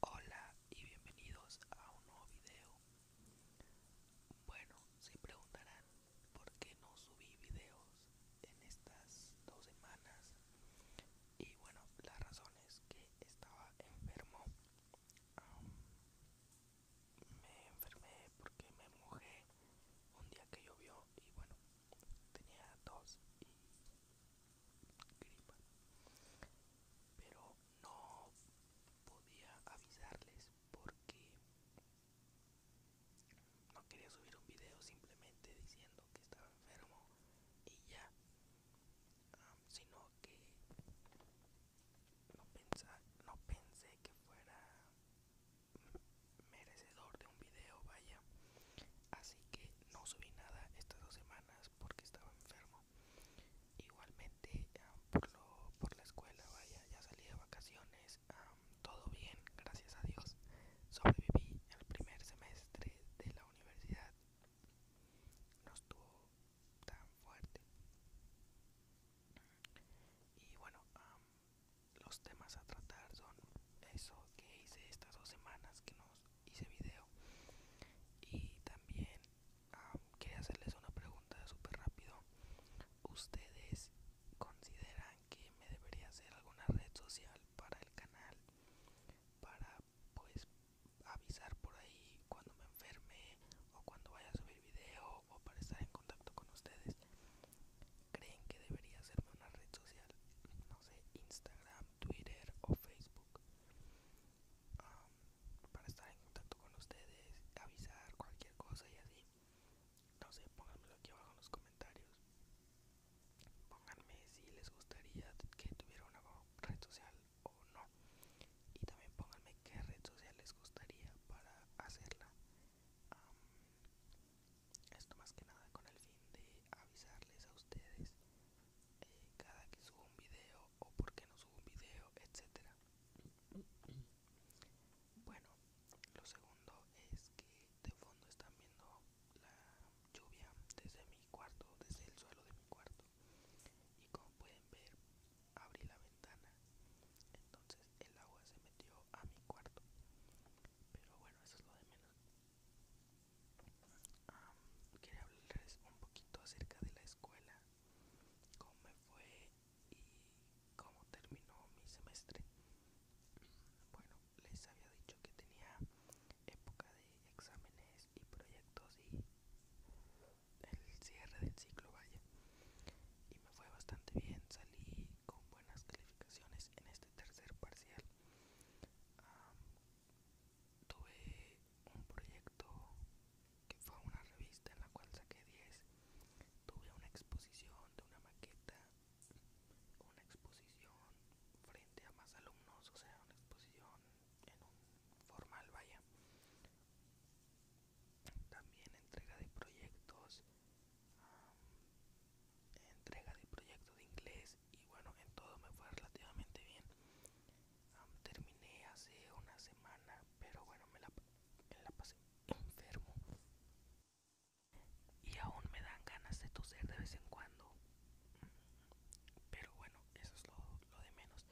Hola y bienvenidos a un nuevo video. Bueno, se preguntarán por qué no subí videos en estas dos semanas. Y bueno, la razón es que estaba enfermo. me enfermé porque me mojé un día que llovió y bueno, tenía tos y pero no podía avisarles porque no quería subir un video simplemente diciendo que estaba enfermo y ya sino que no, no pensé que fuera merecedor de un video, vaya. Así que no subí nada estas dos semanas porque estaba enfermo. Igualmente ah, por, lo, por la escuela, vaya, ya salí de vacaciones, ah, todo bien, gracias a Dios. Sobreviví el primer semestre de la universidad. No estuvo tan fuerte. Y bueno, ah, los temas a tratar son eso que hice estas dos semanas que no hice video y también quería hacerles una pregunta súper rápido ustedes consideran que me debería hacer alguna red social para el canal para pues avisar por ahí cuando me enferme o cuando vaya a subir video o para estar en contacto con ustedes creen que debería hacerme una red social no sé Instagram Twitter o Facebook para estar en contacto con ustedes avisar cualquier cosa y así no sé pónganmelo aquí abajo en los comentarios pónganme si les gustaría que tuviera una red social o no y también pónganme qué red social les gustaría para hacerla esto más que nada con el fin de avisarles a ustedes eh, cada que subo un video o por qué no subo un video, etcétera. Bueno, lo segundo es que de fondo están viendo la lluvia desde mi cuarto, desde el suelo de mi cuarto. Y como pueden ver, abrí la ventana entonces el agua se metió a mi cuarto pero bueno eso es lo de menos um, quería hablarles un poquito acerca de la escuela cómo me fue y cómo terminó mi semestre bueno les había dicho que tenía época de exámenes y proyectos y el cierre del ciclo vaya y me fue bastante bien, salí con buenas calificaciones en este tercer parcial. tuve un proyecto que fue una revista en la cual saqué 10, tuve una exposición de una maqueta, una exposición frente a más alumnos, o sea, una exposición en un formal, vaya también entrega de proyectos entrega de proyectos de inglés y bueno en todo me fue relativamente bien terminé hace una semana pero bueno me la, la pasé enfermo y aún me dan ganas de toser de vez en cuando pero bueno eso es lo, lo de menos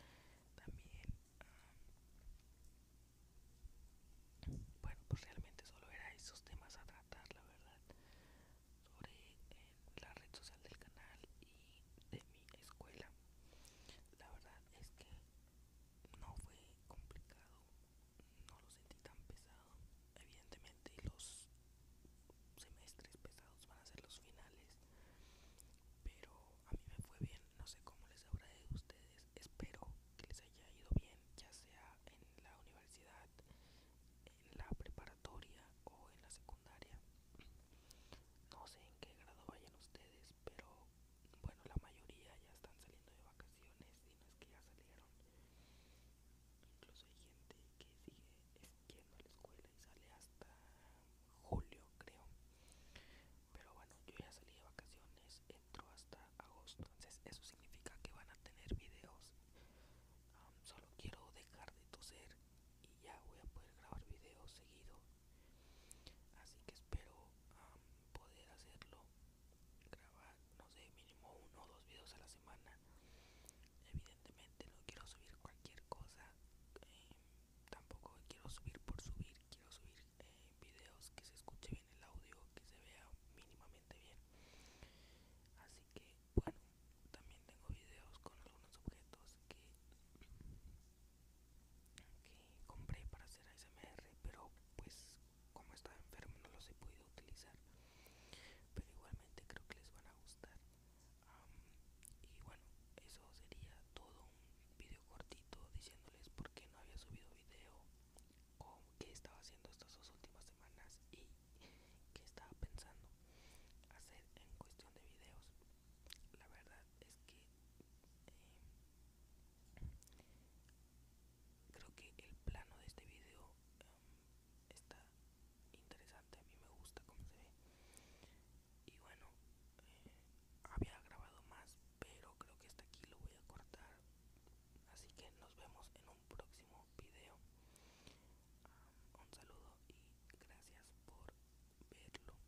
también bueno pues realmente solo era esos temas a tratar la verdad sobre eh, la red social del canal y de mi escuela la verdad es que no fue complicado no lo sentí tan pesado evidentemente los semestres pesados van a ser los finales pero a mí me fue bien, no sé cómo les habrá ido a ustedes, espero que les haya ido bien, ya sea en la universidad, en la preparatoria o en la secundaria. No sé en qué grado vayan ustedes, pero bueno, la mayoría ya están saliendo de vacaciones y no es que ya salieron. Incluso hay gente que sigue yendo a la escuela y sale hasta julio creo pero bueno yo ya salí de vacaciones entro hasta agosto entonces eso significa que van a tener videos solo quiero dejar de toser y ya voy a poder grabar videos seguido así que espero poder hacerlo grabar no sé mínimo uno o dos videos a la semana Evidentemente no quiero subir cualquier cosa, eh, tampoco quiero subir por subir, quiero subir eh, videos que se escuche bien el audio, que se vea mínimamente bien. Así que bueno, también tengo videos con algunos objetos que, que compré para hacer ASMR, pero pues como estaba enfermo no los he podido utilizar. Pero igualmente creo que les van a gustar y bueno, eso sería todo un video cortito diciéndoles por qué no había subido video, o qué estaba haciendo estas dos últimas semanas y qué estaba pensando hacer en cuestión de videos. La verdad es que em, creo que el plano de este video em, está interesante, a mí me gusta cómo se ve. Y bueno, eh, había grabado más, pero creo que hasta aquí lo voy a cortar. Así que nos vemos en un próximo video. Ah, un saludo y gracias por verlo. Hasta la próxima.